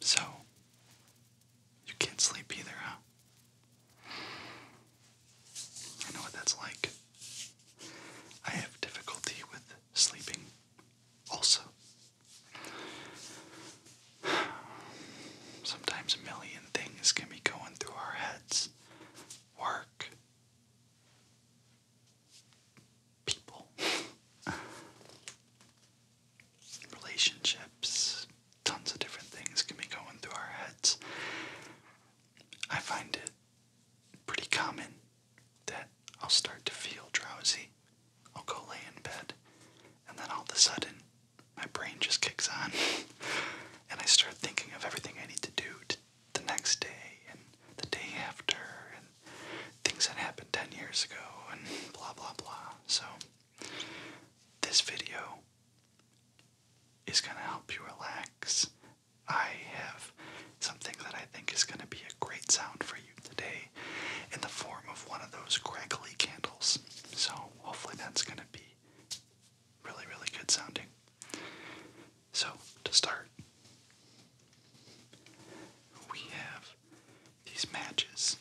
So, you can't sleep either, huh? I know what that's like. I have difficulty with sleeping also. Sometimes a million things can be going through our heads work, people, relationships, tons of different things can be going through our heads. I find it pretty common that I'll start to feel drowsy. I'll go lay in bed, and then all of a sudden, my brain just kicks on and I start thinking of everything I need to do the next day and the day after and things that happened 10 years ago and blah blah blah. So, this video is going to help you relax. I have something that I think is going to be a great sound for you today in the form of one of those crackly candles. So, hopefully, that's going to be really, really good sounding. So, to start, we have these matches.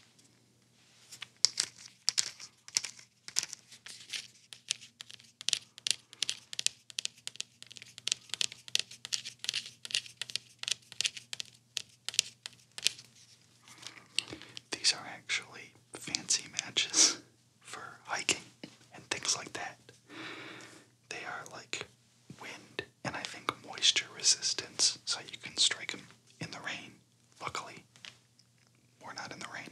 These are actually fancy matches. for hiking and things like that. They are like wind and I think moisture resistance, so you can strike them in the rain. Luckily, we're not in the rain.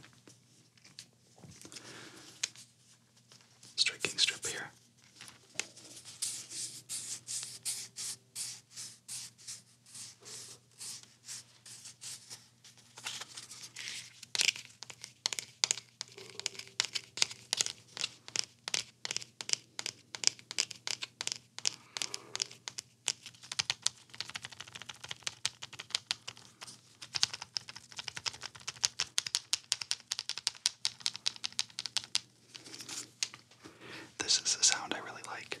Striking strip here. This is a sound I really like.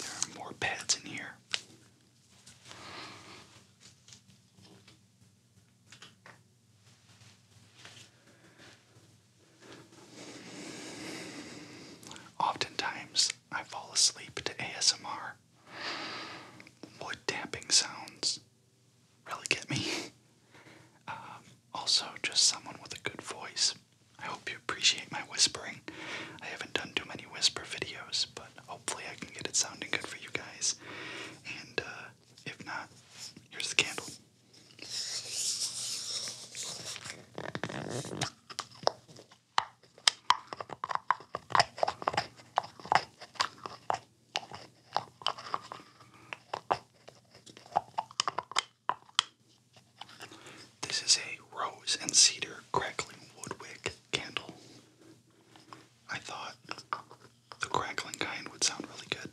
There are more pads in here. Oftentimes, I fall asleep to ASMR. Wood tapping sounds really get me. Um, also, just someone with a good voice. I hope you appreciate my whispering. I haven't done too many whisper videos, but hopefully I can get it sounding good for you guys. And uh, if not, here's the candle. This is a rose and cedar crackling woodwick candle. I thought the crackling kind would sound really good.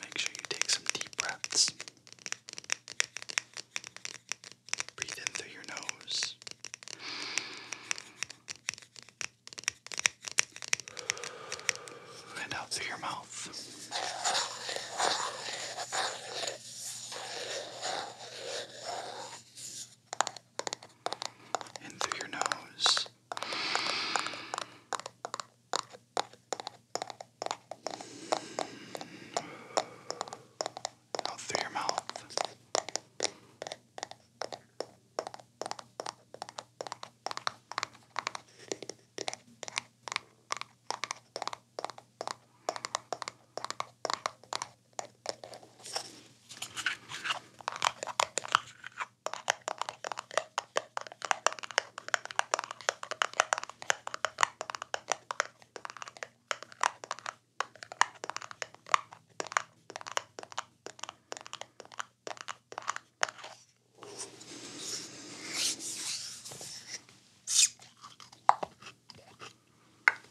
Make sure you take some deep breaths. Breathe in through your nose. And out through your mouth. In through your nose. Out through your mouth.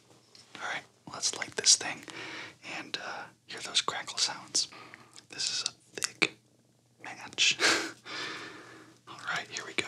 All right, let's light this thing and uh, hear those crackle sounds. This is a thick match. All right, here we go.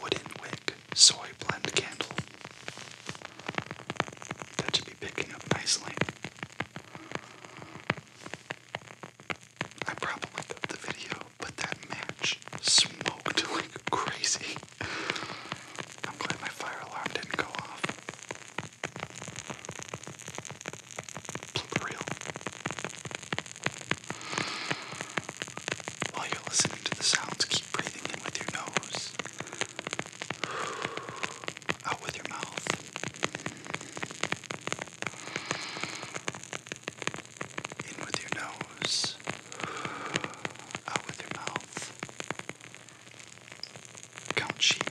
Wooden wick soy blend candle. That should be picking up nicely. I probably cut the video, but that match smoked like crazy. I'm glad my fire alarm didn't go off. Keep While you're listening to the sounds, keep breathing in with your nose, out with your mouth. In with your nose, out with your mouth. Count sheep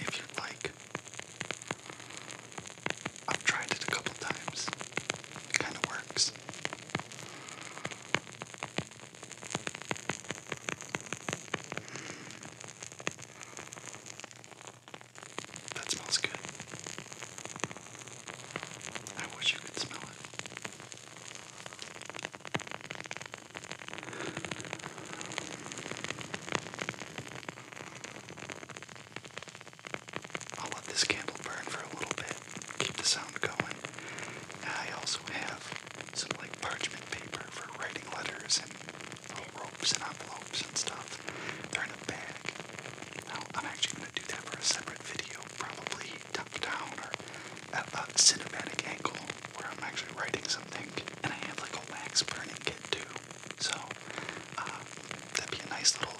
if you like. I've tried it a couple times. It kind of works. That smells good. I wish you could smell it. I'll let this candle burn for a little bit, keep the sound going. I also have some like parchment paper for writing letters and little ropes and envelopes and stuff. They're in a I'm actually going to do that for a separate video, probably top down or at a cinematic angle where I'm actually writing something. And I have like a wax burning kit too. So uh, that'd be a nice little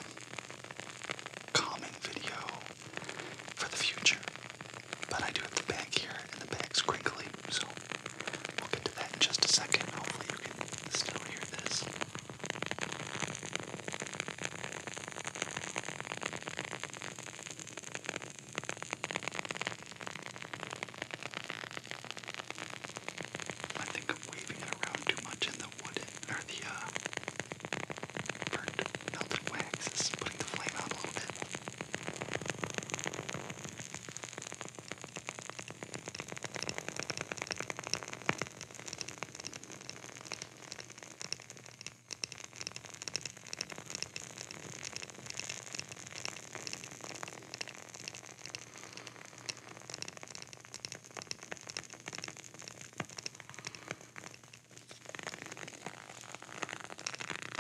calming video for the future. But I do have the bag here, and the bag's crinkly, so we'll get to that in just a second. Hopefully, you can still hear this. I think I'm waving it around too much in the wooden, or the, uh, burnt melted wax is putting the flame out a little bit.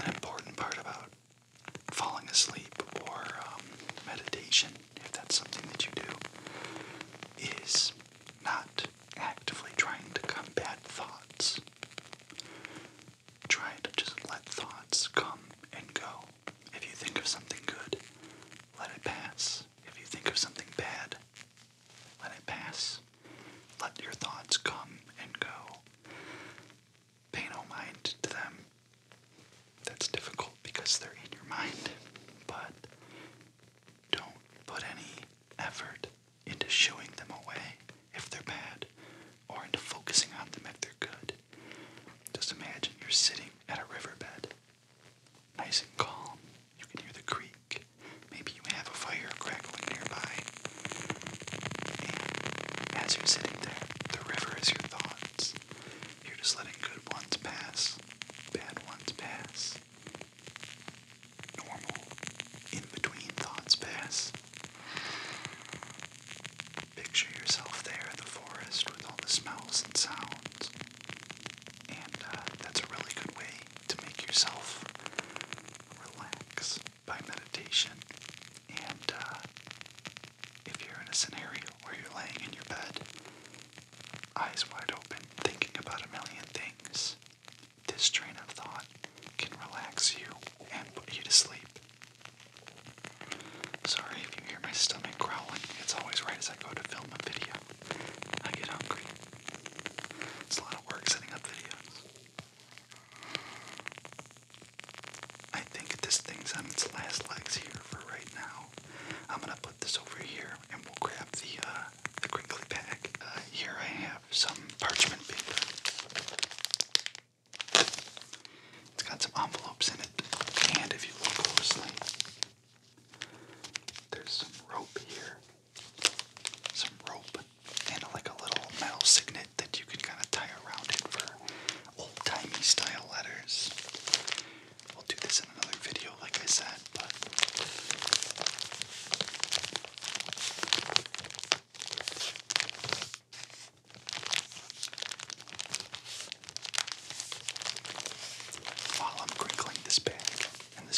An important part about falling asleep or um, meditation, if that's something that you do, is not actively trying to combat thoughts. Try to just let thoughts come and go. If you think of something good, let it pass. If you think of something bad, let it pass. Let your thoughts come and go. Pay no mind to them. That's difficult because they're in your mind, but don't put any effort into shooing them away if they're bad or into focusing on them if they're good. Just imagine you're sitting at a riverbed, nice and calm. You can hear the creek. Maybe you have a fire crackling nearby. And as you're sitting there, the river is your thoughts. You're just letting good ones pass, bad ones pass, normal, in between thoughts pass. Picture yourself there in the forest with all the smells and sounds. And uh, that's a really good way to make yourself relax by meditation. And uh, if you're in a scenario where you're laying in your bed, eyes wide open, thinking about a million things, this train of thought can relax you and put you to sleep. Sorry if you hear my stomach growling. It's always right as I go to film a video. I get hungry. It's a lot of work setting up videos. I think this thing's on its last legs here for right now. I'm gonna put this over here and we'll grab the uh, the crinkly pack. Uh, here I have some parchment paper. It's got some envelopes in it, and if you look closely, there's some rope here. Some rope and like a little metal signet that you can kind of tie around it for old-timey style letters. We'll do this in another video, like I said, but while I'm crinkling this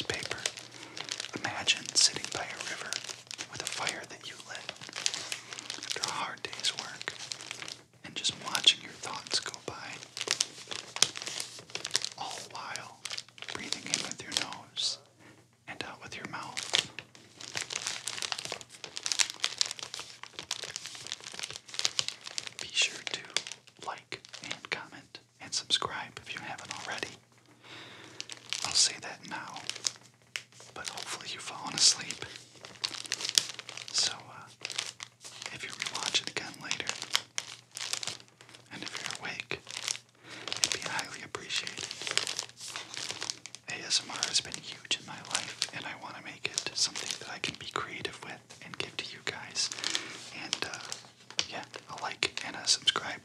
paper, imagine sitting by a river with a fire that you lit after a hard day's work and just watching your thoughts go by, all while breathing in with your nose and out with your mouth. Be sure to like and comment and subscribe if you haven't already. I'll say that now, but hopefully you've fallen asleep. So, uh, if you rewatch it again later, and if you're awake, it'd be highly appreciated. ASMR has been huge in my life, and I want to make it something that I can be creative with and give to you guys. And uh, yeah, a like and a subscribe,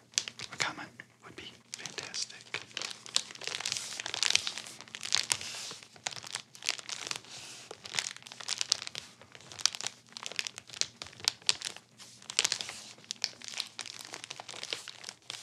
a comment would be fantastic.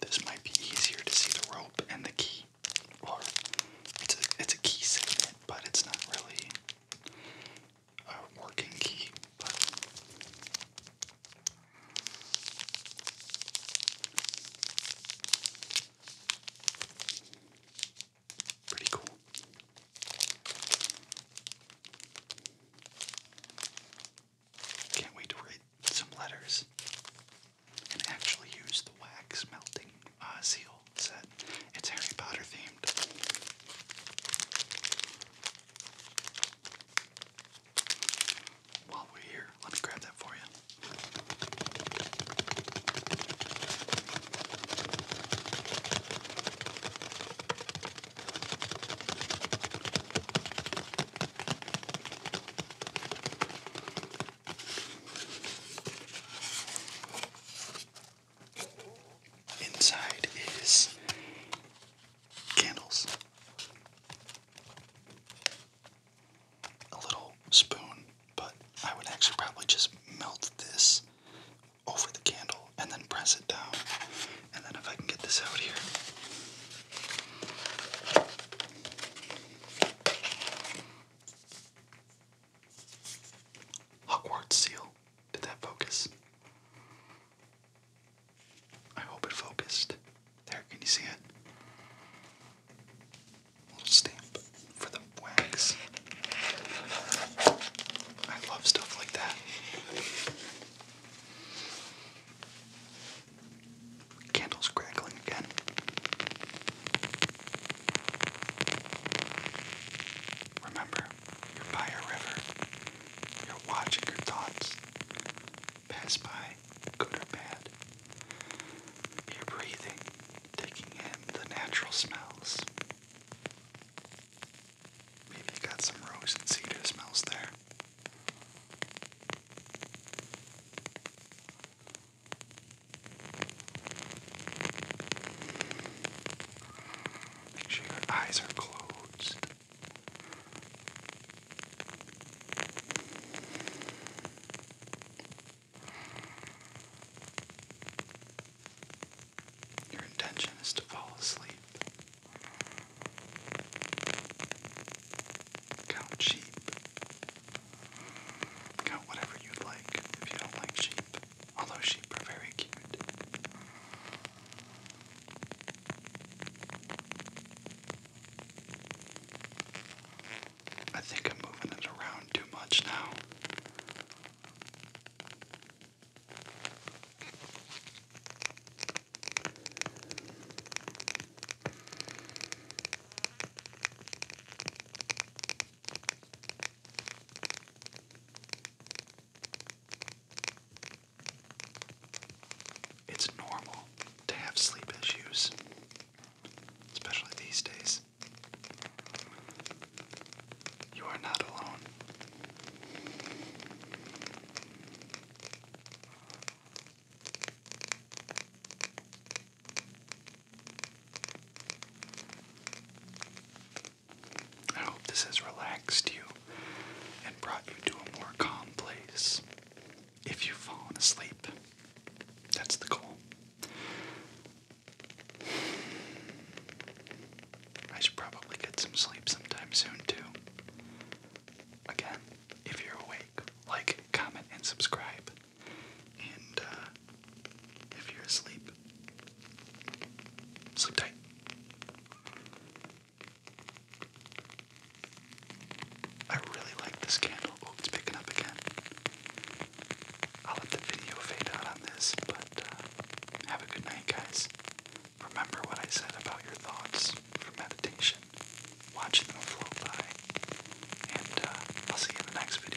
This might be easier to see the rope and the key. Or it's a it's a key segment, but it's not really a working key. But pretty cool. Can't wait to read some letters and actually use the wax melting uh, seal set. It's Harry Potter themed. While we're here, let me grab that for you. Inside is candles, a little spoon, but I would actually probably just melt this over the candle and then press it down. And then if I can get this out here. Hogwarts seal. Did that focus? I hope it focused. There, can you see it? little stamp for the wax. I love stuff like that. Candles crackling again. Remember, you're by a river. You're watching your thoughts pass by, good or bad. You're breathing, taking in the natural smells. Maybe you got some rose and cedar smells there. Make sure your eyes are closed. Your intention is to fall asleep. Count sheep. Count whatever you'd like if you don't like sheep. Although sheep are very cute. I think I'm moving it around too much now. It's normal to have sleep issues, especially these days. You are not alone. I hope this has relaxed you and brought you to a more calm place. If you've fallen asleep, that's the goal. I should probably get some sleep sometime soon, too. Again, if you're awake, like, comment, and subscribe. And uh, if you're asleep, sleep tight. I really like this candle. Oh, it's picking up again. I'll let the video fade out on this, but uh, have a good night, guys. Remember what I said about your thoughts for meditation. Watch them flow by. And uh, I'll see you in the next video.